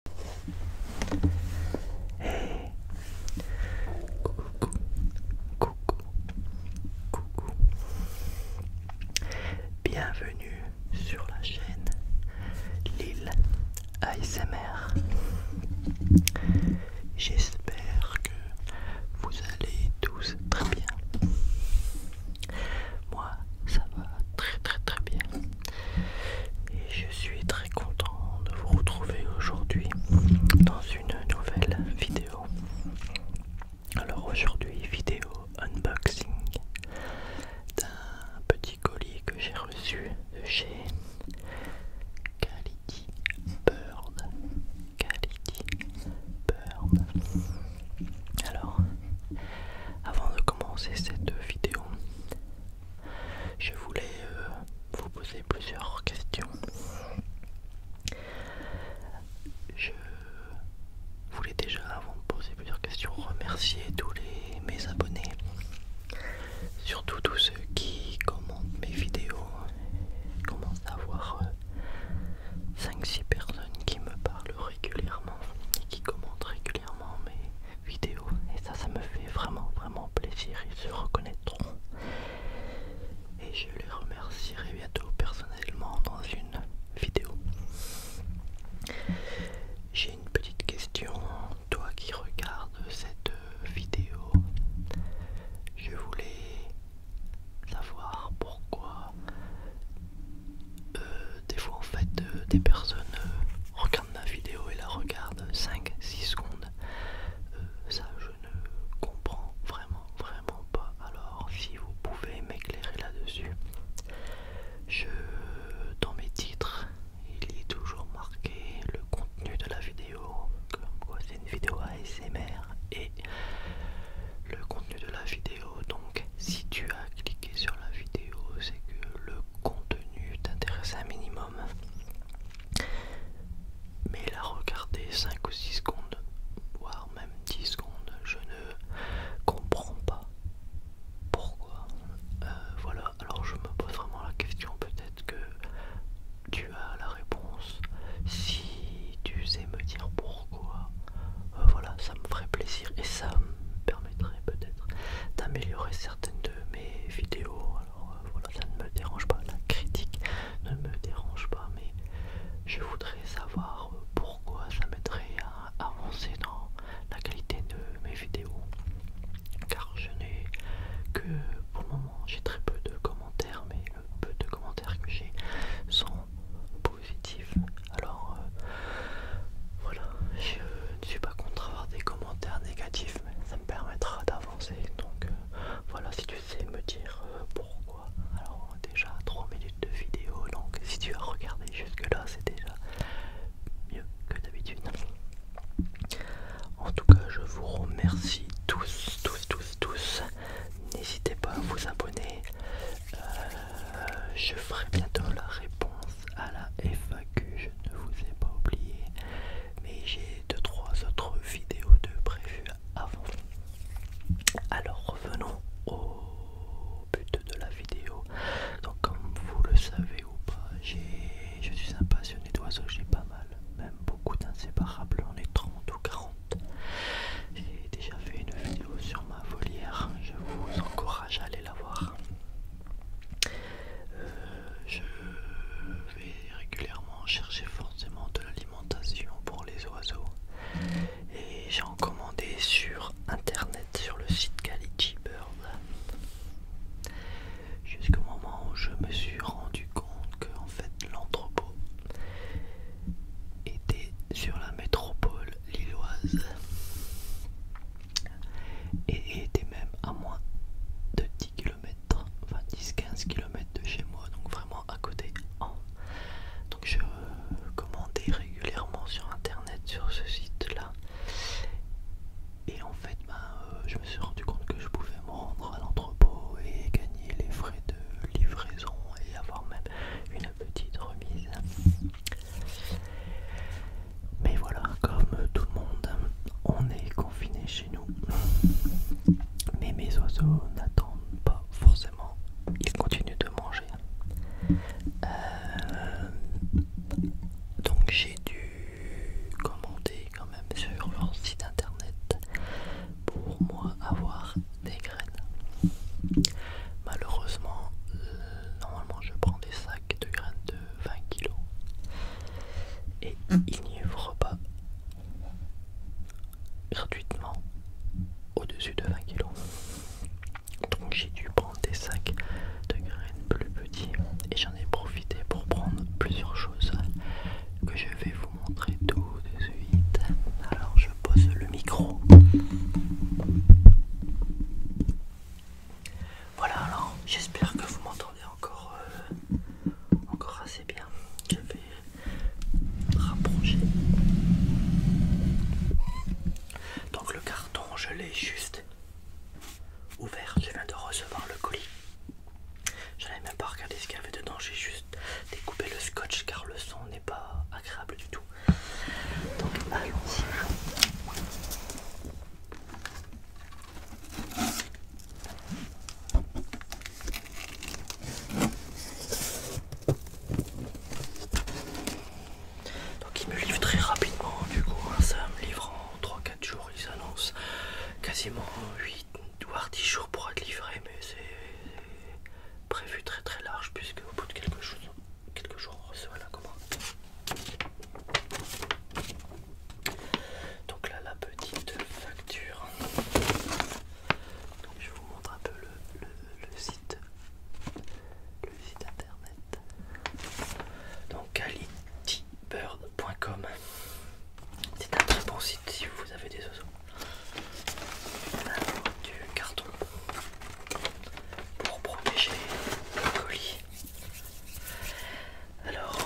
Coucou, coucou, coucou. Bienvenue sur la chaîne Lille ASMR. J'espère que vous allez tous très bien. Moi, ça va très très très bien et je suis très content de vous retrouver aujourd'hui dans une nouvelle vidéo. Alors aujourd'hui vidéo unboxing d'un petit colis que j'ai reçu de chez Quality Bird. Alors avant de commencer cette vidéo, je voulais euh, vous poser plusieurs questions. Je voulais déjà, avant de poser plusieurs questions, remercier tous mes abonnés, surtout tous ceux qui commentent mes vidéos. Comment avoir 5-6 euh, personnes qui me parlent régulièrement et qui commentent régulièrement mes, vidéo et ça ça me fait vraiment vraiment plaisir ils se reconnaîtront et je les remercierai bientôt personnellement dans une vidéo j'ai une petite question toi qui regarde cette vidéo je voulais savoir pourquoi euh, des fois en fait euh, des personnes euh, regardent ma vidéo et la regardent 5-6 secondes. ça je ne comprends vraiment vraiment pas. Alors si vous pouvez m'éclairer là-dessus. Je dans mes titres il est toujours marqué le contenu de la vidéo, comme quoi c'est une vidéo ASMR et le contenu de la vidéo. Donc, si tu as cliqué sur la vidéo, c'est que le contenu t'intéresse un minimum. Mais la regarder 5 ou 6 secondes, voire même 10 secondes, je ne comprends pas pourquoi. Euh, voilà, alors je me pose vraiment la question, peut-être que tu as la réponse. Si tu sais me dire pourquoi, euh, voilà, ça me ferait plaisir et ça me permettrait peut-être d'améliorer certaines de mes vidéos. Alors euh, voilà, ça ne me dérange pas, la critique ne me dérange pas, mais je voudrais savoir euh, pourquoi ça m'aiderait à avancer dans la qualité de mes vidéos. Car je n'ai que pour le moment, j'ai très peu de commentaires, mais le peu de commentaires que j'ai sont positif. Alors euh, voilà, je ne suis pas contre avoir des commentaires négatifs, mais ça me permettra d'avancer. Donc euh, voilà, si tu sais me dire euh, pourquoi. Alors déjà 3 minutes de vidéo, donc si tu as regardé jusque-là, c'est déjà mieux que d'habitude. En tout cas, je vous remercie tous, tous, tous, tous. N'hésitez pas à vous abonner. Euh, je ferai bientôt la réponse à la FAQ, je ne vous ai pas oublié, mais j'ai 2-3 autres vidéos de prévues avant. Alors revenons au but de la vidéo. Donc comme vous le savez ou pas, je suis un passionné d'oiseaux, j'ai pas mal, même beaucoup d'inséparables, on est 30 ou 40 j'ai déjà fait une vidéo sur ma volière, je vous encourage à aller la voir. Euh, je vais régulièrement chercher forcément de l'alimentation pour les oiseaux et j'ai en commandé sur internet sur le site Quality Bird jusqu'au moment où je me suis rendu compte que en fait l'entrepôt était sur la métropole lilloise et était même à moins de 10 km, enfin 15 km de chez moi, donc vraiment à côté. Oh. Donc je commandais régulièrement sur internet sur ce site-là. Et en fait, ben, euh, je me suis rendu compte que je pouvais me rendre à l'entrepôt et gagner les frais de livraison et avoir même une petite remise. Mais voilà, comme tout le monde, on est confiné chez nous. Mais mes oiseaux n'attendent pas forcément. Ils continuent de manger. Euh, donc j'ai dû commander quand même sur leur site internet pour moi avoir des graines. Malheureusement, euh, normalement je prends des sacs de graines de 20 kg et hum. il n'y pas gratuitement au-dessus de 20 kg. Donc j'ai dû prendre des sacs de graines plus petits et j'en ai profité pour prendre plusieurs choses que je vais vous montrer tout de suite. Alors je pose le micro. Voilà, alors j'espère que vous m'entendez encore, euh, encore assez bien. Je vais rapprocher. Donc le carton, je l'ai juste ouvert. Je viens de recevoir le colis. J'avais même pas regarder ce qu'il y avait dedans, j'ai juste découpé le scotch car le son n'est pas agréable du tout. Donc allons-y. Donc ils me livrent très rapidement du coup, hein. ça me livre en 3-4 jours, ils annoncent quasiment 8 voire 10 jours pour être livré mais c'est prévu très très large puisque au bout de quelques jours, quelques jours on recevra la commande. Donc là la petite facture. je vous montre un peu le, le, site. Le site internet. Donc qualitybird.com. C'est un très bon site si vous avez des oiseaux du carton pour protéger le colis. Alors,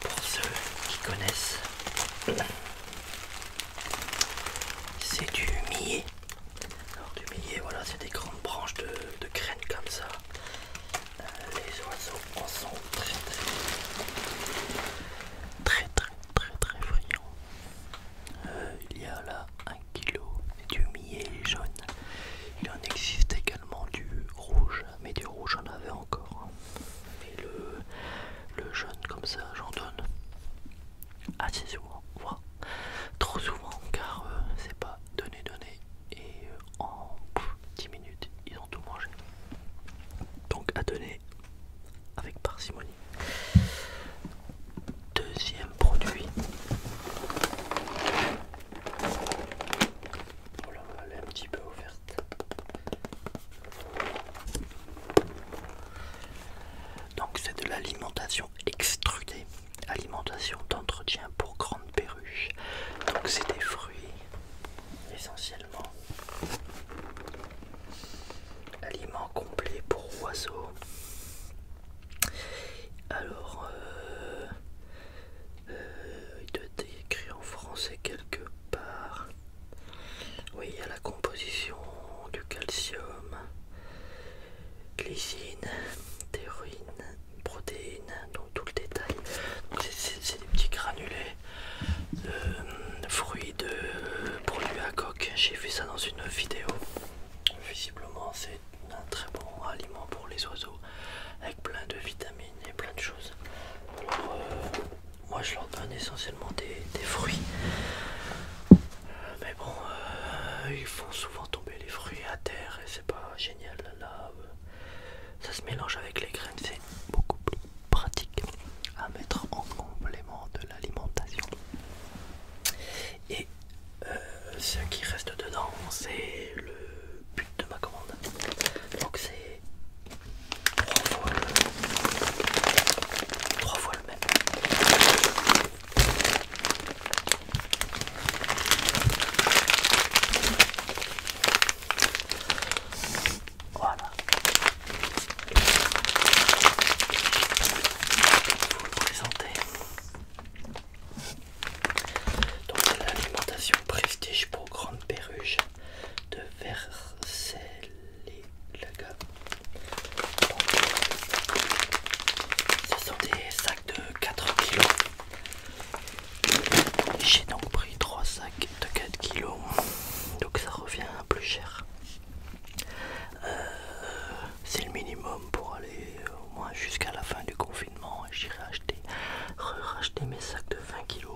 pour ceux qui connaissent, c'est du millet. Alors, du millet, voilà, c'est des grandes branches de, de graines comme ça les oiseaux en sont très très très très très, euh, il y a là un kilo du millet jaune. Il en existe également du rouge, mais du rouge j'en avait encore. Mais le, jaune comme ça j'en donne assez souvent, trop souvent car euh, c'est pas donné donné et euh, en 10 minutes ils ont tout mangé. Donc à donner avec parcimonie. Deuxième produit. Oh elle est un petit peu offerte. Donc c'est de l'alimentation extrudée alimentation d'entretien pour grande perruche. Donc c'est des fruits essentiellement. Aliments complet pour oiseaux. Alors, euh, euh, il doit être écrit en français quelque part. Oui, il y a la composition du calcium, glycine, théorine protéines, donc tout le détail. C'est des petits granulés de euh, fruits de produits à coque. J'ai fait ça dans une vidéo. Visiblement, c'est un très bon aliment pour les oiseaux avec plein de vitamines et plein de choses. Euh, moi, je leur donne essentiellement des, fruits, euh, mais bon, ils font souvent tomber les fruits à terre et c'est pas génial là. Euh, ça se mélange avec les graines, c'est beaucoup plus pratique à mettre en complément de l'alimentation. Et euh, ce qui reste dedans, c'est le but de ma commande. Donc c'est trois trois fois le même. Voilà. Vous le présenter. Donc c'est l'alimentation prestige pour grande perruche de versailles Ce sont des sacs de 4 kg. J'ai donc pris 3 sacs de 4 kg. Donc ça revient plus cher. Euh, c'est le minimum pour aller euh, au moins jusqu'à la fin du confinement. J'irai acheter, racheter mes sacs de 20 kg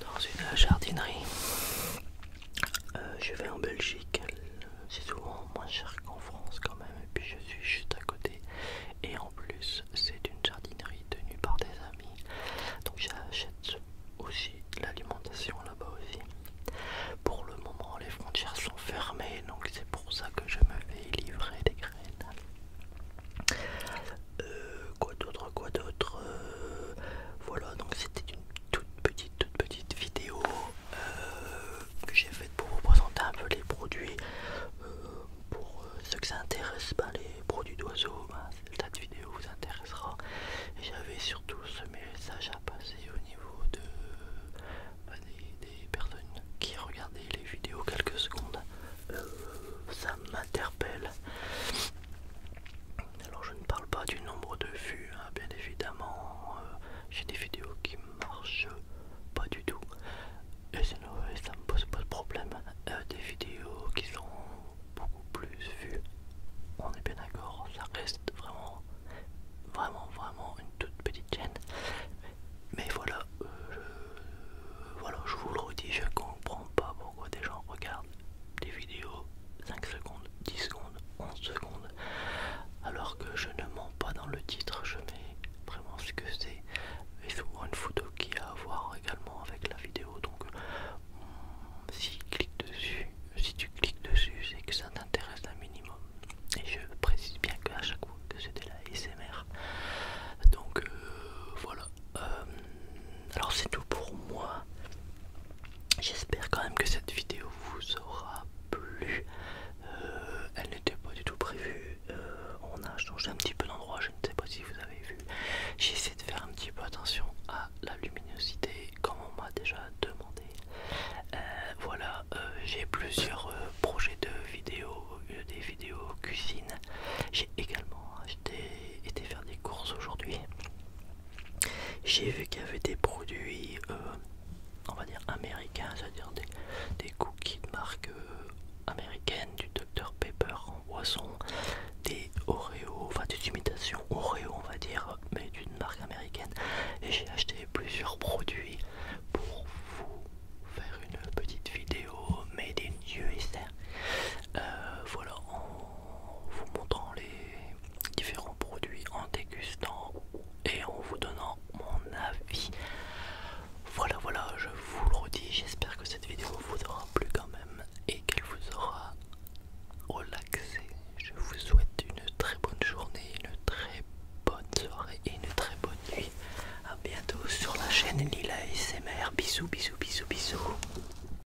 dans une jardinerie. Euh, je vais en Belgique c'est souvent moins cher qu'en France quand même et puis je suis juste à côté et en plus c'est une jardinerie tenue par des amis donc j'achète aussi l'alimentation là-bas aussi pour le moment les frontières sont fermées donc c'est pour ça que je me fais livrer des graines euh, quoi d'autre quoi d'autre euh, voilà donc c'était une toute petite toute petite vidéo euh, que j'ai faite pour vous présenter un peu les produits. Euh, pour euh, ceux que ça intéresse, pas ben, les produits d'oiseaux, ben, cette vidéo vous intéressera. j'avais surtout ce message à passer au niveau de, ben, des, personnes qui regardaient les vidéos quelques secondes. ça m'interpelle. Alors je ne parle pas du nombre de vues, hein, bien évidemment. Euh, j'ai des vidéos qui marchent pas du tout. Et ça me pose pas de problème. Euh, des vidéos qui sont beaucoup plus vues. On est bien d'accord, ça reste vraiment, vraiment, vraiment une toute petite chaîne. Mais voilà, euh, je, voilà, je vous le redis, je comprends pas pourquoi des gens regardent des vidéos 5 secondes, 10 secondes, 11 secondes, alors que je ne mens pas dans le titre, je mets vraiment ce que c'est, et souvent une photo qui a à voir également avec la vidéo, donc hmm, si, clique dessus, si tu cliques dessus, c'est que ça t'intéresse un minimum. Et je précise bien qu'à chaque fois que c'était la SMR. Donc euh, voilà. Euh, alors c'est tout pour moi. J'espère quand même que cette vidéo vous aura plu. Euh, elle n'était pas du tout prévue. Euh, on a changé un petit peu d'endroit, je ne sais pas si vous avez vu. J'ai essayé de faire un petit peu attention à la luminosité comme on m'a déjà demandé. Euh, voilà, j'ai plusieurs projets de vidéos, des vidéos cuisine. J'ai également acheté, été faire des courses aujourd'hui. J'ai vu qu'il y avait des produits, euh, on va dire américains, c'est-à-dire des, cookies de marque euh, américaine, du Dr Pepper en boisson, des Oreo, enfin des imitations Oreo, on va dire, mais d'une marque américaine. Et j'ai acheté plusieurs produits pour vous faire une petite vidéo made in et Euh, voilà, en vous montrant les différents produits, en dégustant et en vous donnant mon avis. Voilà, voilà, je vous le redis, j'espère que cette vidéo vous aura plu quand même et qu'elle vous aura relaxé. Je vous souhaite une très bonne journée, une très bonne soirée et une très bonne nuit. À bientôt sur la chaîne Lila SMR. Bisous, bisous, bisous, bisous.